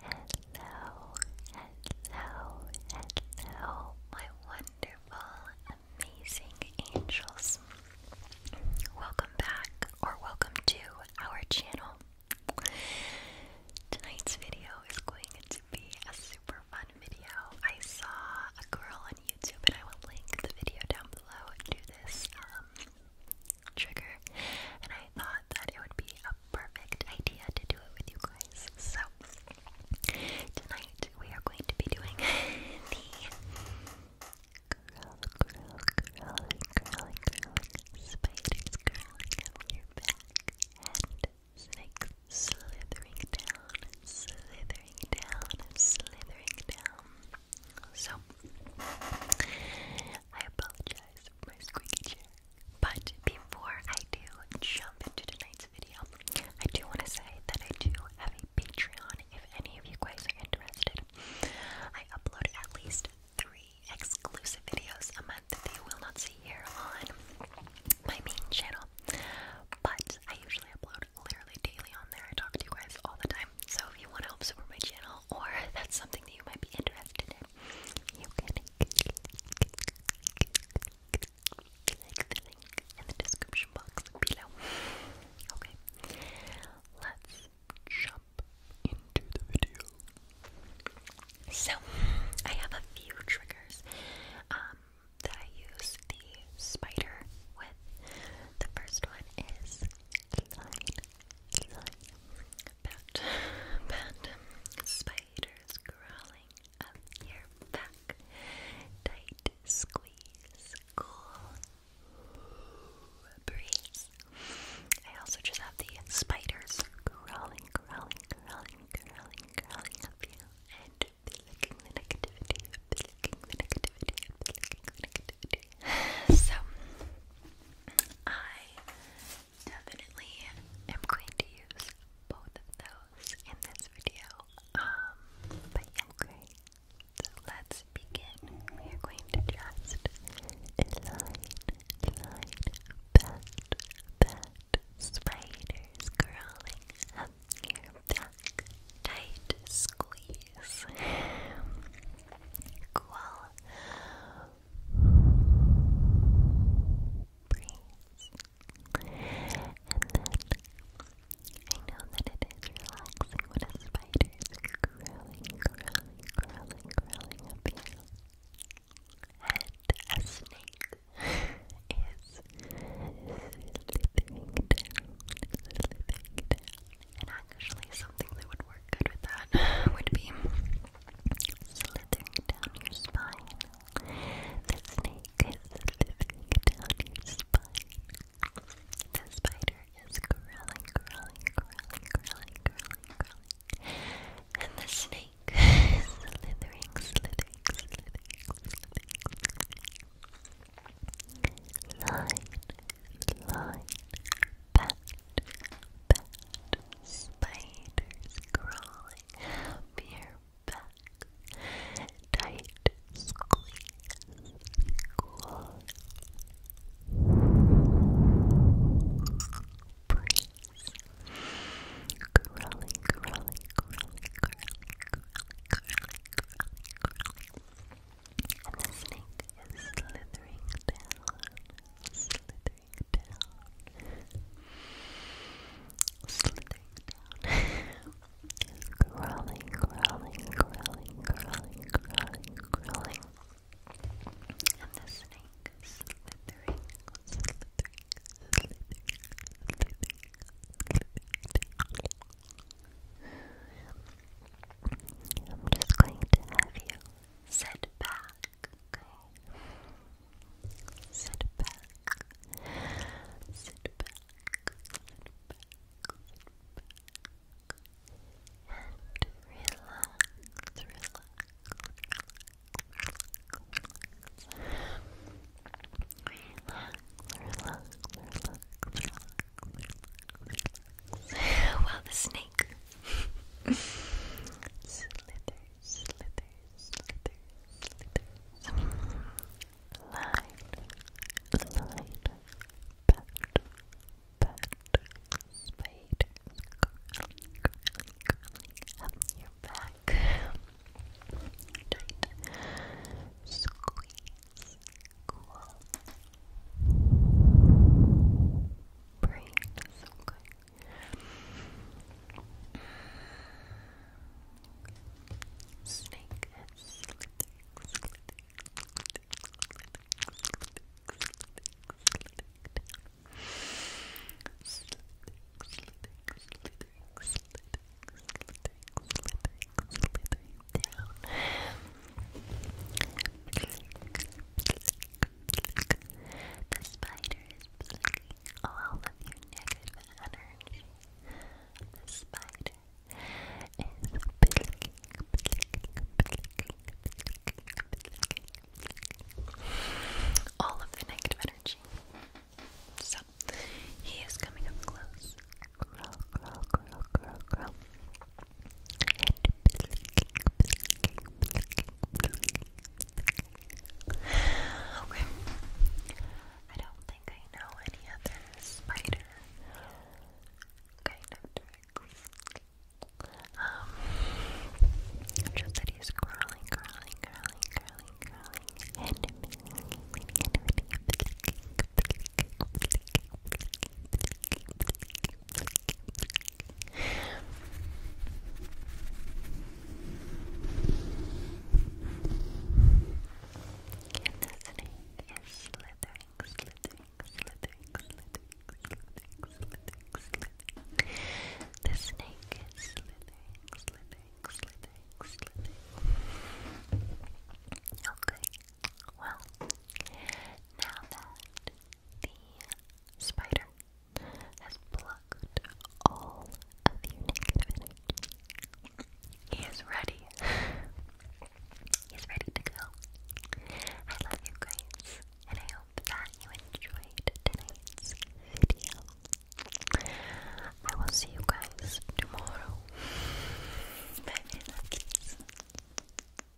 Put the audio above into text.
Hello, hello, hello, my wonderful, amazing angels. Welcome back, or welcome to our channel. Tonight's video is going to be a super fun video. I saw a girl on YouTube, and I will link the video down below, do this um, trigger, and I thought that it would be a perfect idea to do it with you guys. So, tonight we are going to be doing the curl, slithering down, slithering down, slithering down. So, I apologize for my squeaky chair. But before I do jump into tonight's video, I do want to say that I do have a Patreon if any of you guys are interested. I upload at least three exclusive videos a month that you will not see here on my main channel. But I usually upload literally daily on there. I talk to you guys all the time. So if you want to help support my channel or that's something that you might be interested in, you can click the link in the description box below. Okay, let's jump into the video. So, I have a few triggers um, that I use the spider with. The first one is line, line. spiders crawling up your back. Tight squeeze, cool breeze. I also just have the spiders crawling, crawling, crawling, crawling, crawling up you and the negativity, the negativity, the negativity, So, I definitely am going to use both of those in this video. Um, but yeah, great. So let's begin. We are going to just line, line, bat, bat, spiders crawling up your back, tight squeeze cool breeze. And then I know that it is relaxing when a spider is crawling, crawling, crawling, crawling up here. And a snake is slithering down, slithering down. And actually, something that would work good with that would be slithering down your spine. The snake is slithering down your spine. The spider is crawling, crawling, crawling, crawling, crawling, crawling. And the snake is slithering, slithering, slithering, slithering. Line line, bat, bat, spiders crawling up your tight squeeze, cool, breeze, crawling, crawling, crawling, crawling, crawling, crawling. And the snake is slithering down, slithering down, slithering down. crawling, crawling, crawling, crawling, crawling, crawling. And the snake slithering, slithering, slithering, slithering, slithering down. I'm just going to have you sit back, Sit back, sit back, sit back, and relax, relax, relax, relax well, the snake slither, slither, slither, slithers. Line, line, pat, pat, spider, curling, curling, your back, tight, Squeeze, cool breeze. Okay. Snake is slithering, slithering, slithering, slithering, slithering, slithering, slithering, slithering down. The spider is plucking all of your negative energy. The spider is plucking, all of the negative energy. So he is coming up close. Okay. I don't think I know any other spider kind of tricks. just that he's curling, curling, curling, curling, curling, and the snake is slithering, slithering, slithering, slithering. Okay, well, now that the spider has plucked all of your negative He is ready. He's ready to go. I love you guys, and I hope that you enjoyed tonight's video. I will see you guys tomorrow. Bye, my